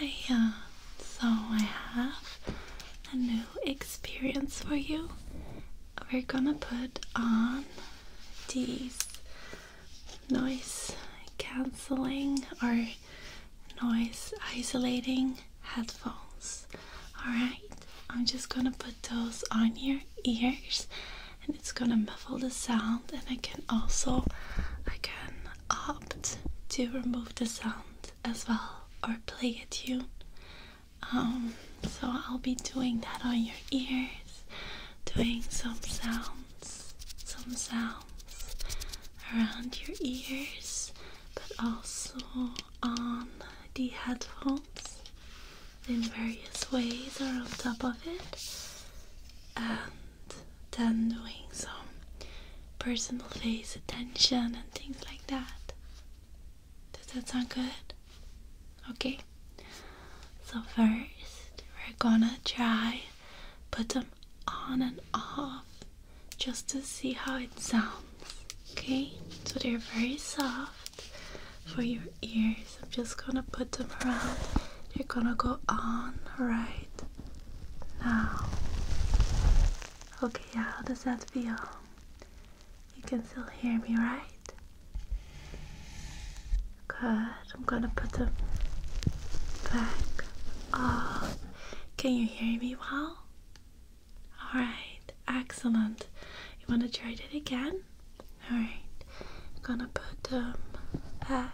Hiya, uh, so I have a new experience for you. We're gonna put on these noise cancelling or noise isolating headphones. Alright, I'm just gonna put those on your ears and it's gonna muffle the sound and I can also I can opt to remove the sound as well or play a tune. Um, so I'll be doing that on your ears, doing some sounds, some sounds around your ears, but also on the headphones in various ways or on top of it than doing some personal face attention and things like that. Does that sound good? Okay. So first, we're gonna try put them on and off just to see how it sounds. Okay? So they're very soft for your ears. I'm just gonna put them around. They're gonna go on right now, okay, how does that feel? You can still hear me, right? Good. I'm gonna put them back on. Can you hear me well? Alright, excellent. You wanna try it again? Alright, I'm gonna put them um, back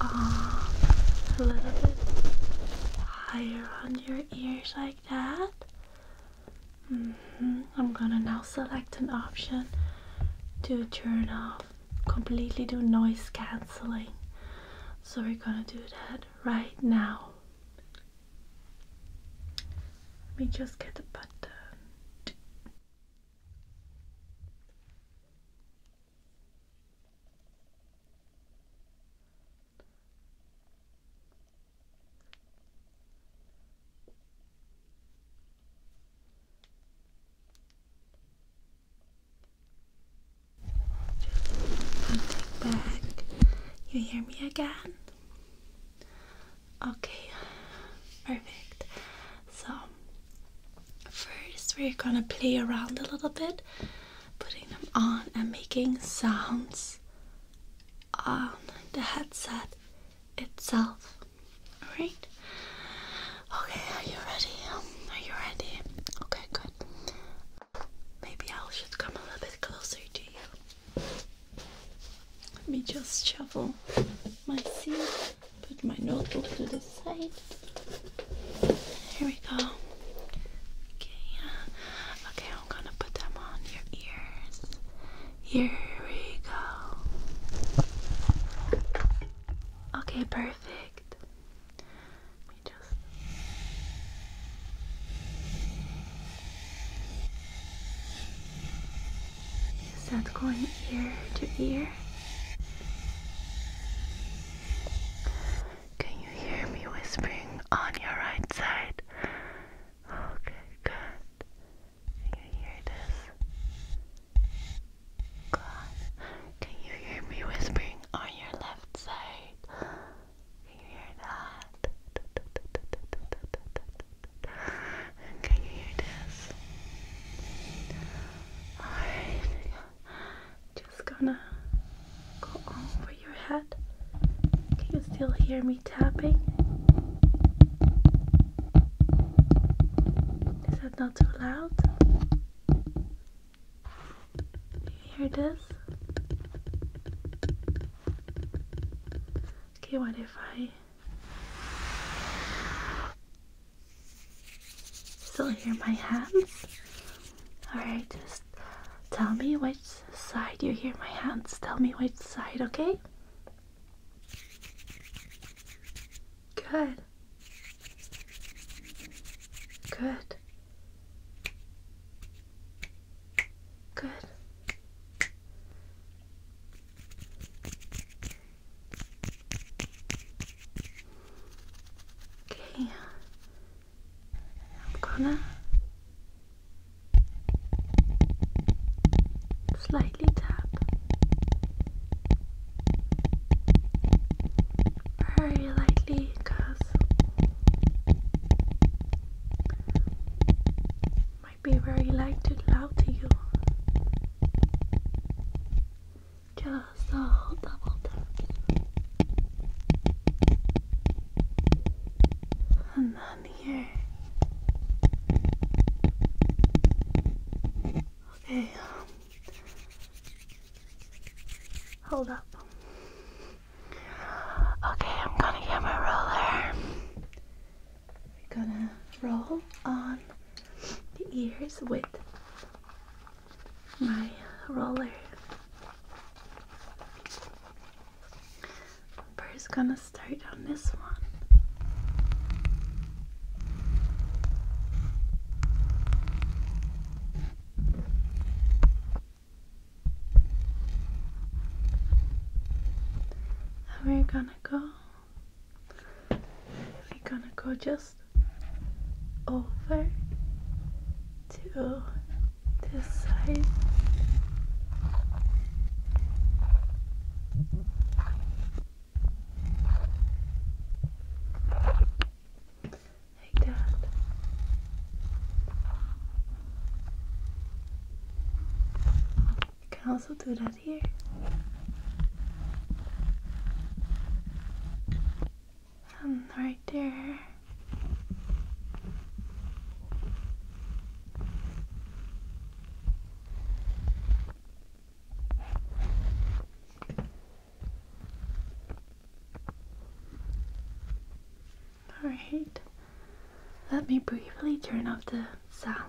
off uh, a little bit higher on your ears like that. Mm-hmm. I'm gonna now select an option to turn off completely do noise cancelling. So we're gonna do that right now. Let me just get the button. I'm back. You hear me again? Okay, perfect. So, first we're gonna play around a little bit, putting them on and making sounds on the headset itself. Alright? Okay, are you ready? Are you ready? Okay, good. Maybe I should come a little bit closer to you. Let me just shuffle my seat. Put my notebook to the side. Here we go. Okay. Okay, I'm gonna put them on your ears. Here we go. Okay, perfect. Let just. Is that going ear to ear? Can you hear me whispering on your right side? Okay, good. Can you hear this? God. Can you hear me whispering on your left side? hear that? can you hear this? Alright, just gonna go over your head. Can you still hear me tapping? Is that not too loud? Do you hear this? Okay, what if I Still hear my hands? Alright, just tell me which side you hear my hands. Tell me which side, okay? Good. Good. Good. Okay. I'm gonna slightly tap very lightly because might be very light too loud to you. Just a whole double tap. And then here. Okay. Hold up. Okay, I'm gonna get my roller. We're gonna roll on the ears with my roller. First, gonna start on this one. And we gonna go we're gonna go just over to this side. Like that. You can also do that um, right there. Alright, let me briefly turn off the sound.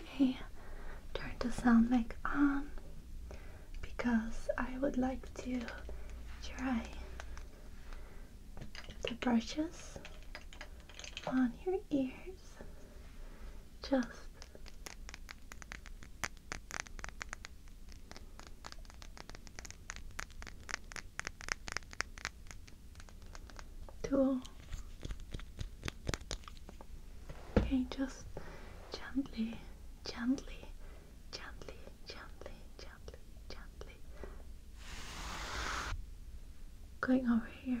Okay, turn the sound back on because I would like to try the brushes on your ears. Just Cool. Okay, just gently, gently, gently, gently, gently, gently, Going over here.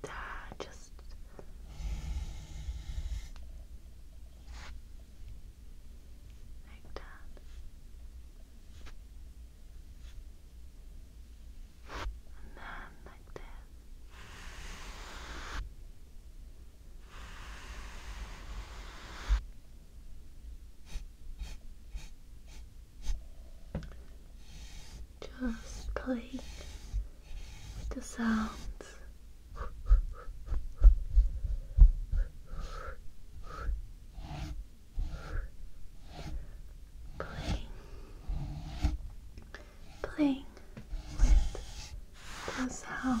Just, uh, like that. And then like this. Just playing the sounds. Playing, playing with the sound.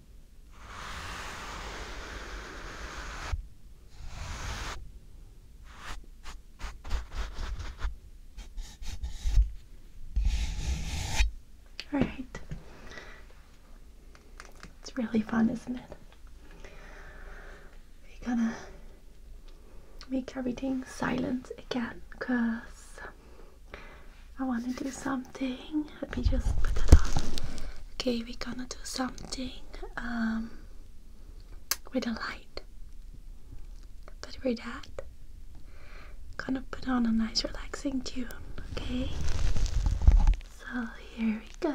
All right. It's really fun, isn't it? We're gonna make everything silent again because I want to do some something. Let me just put that on. Okay, we're gonna do something um, with a light. But with that, gonna put on a nice relaxing tune. Okay, so here we go.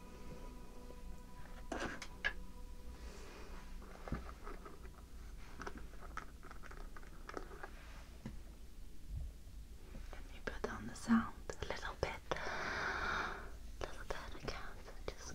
Let me put down the sound a little bit. A little bit again. just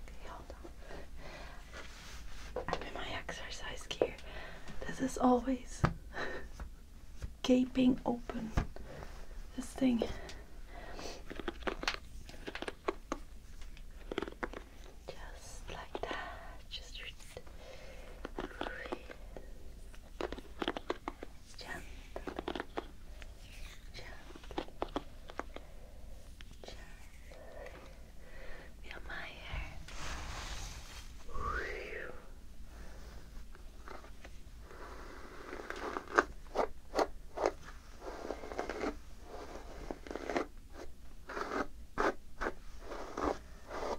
Okay, hold on. I'm in my exercise gear. This is always gaping open. This thing. Just like that. Just gently, gently, gently. Feel my hair. Just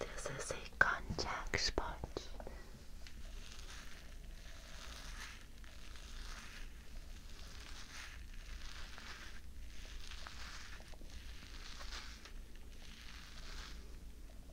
This is a contact sponge.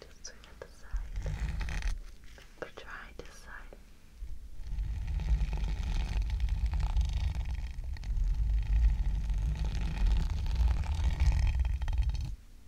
Just swing at the side. But try this side. Good.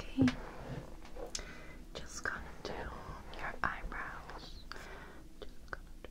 Okay, just gonna do your eyebrows. Just gonna do.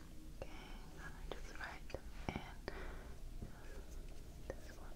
Okay, i just write them This one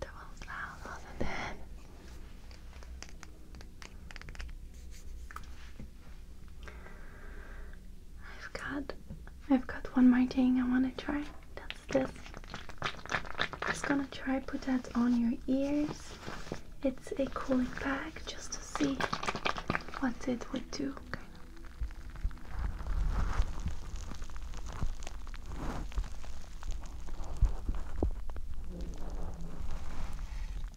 That was loud, wasn't I've got I've got one more thing I wanna try. That's this. just gonna try put that on your ears. It's a cooling pack just to see what it would do.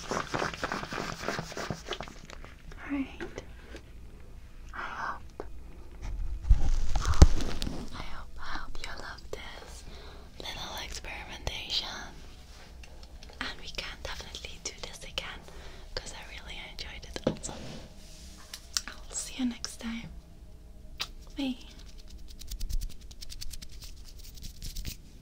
Alright. I hope. I hope I hope you love this little experimentation. And we can definitely do this again because I really enjoyed it also. I'll see you next time. Bye.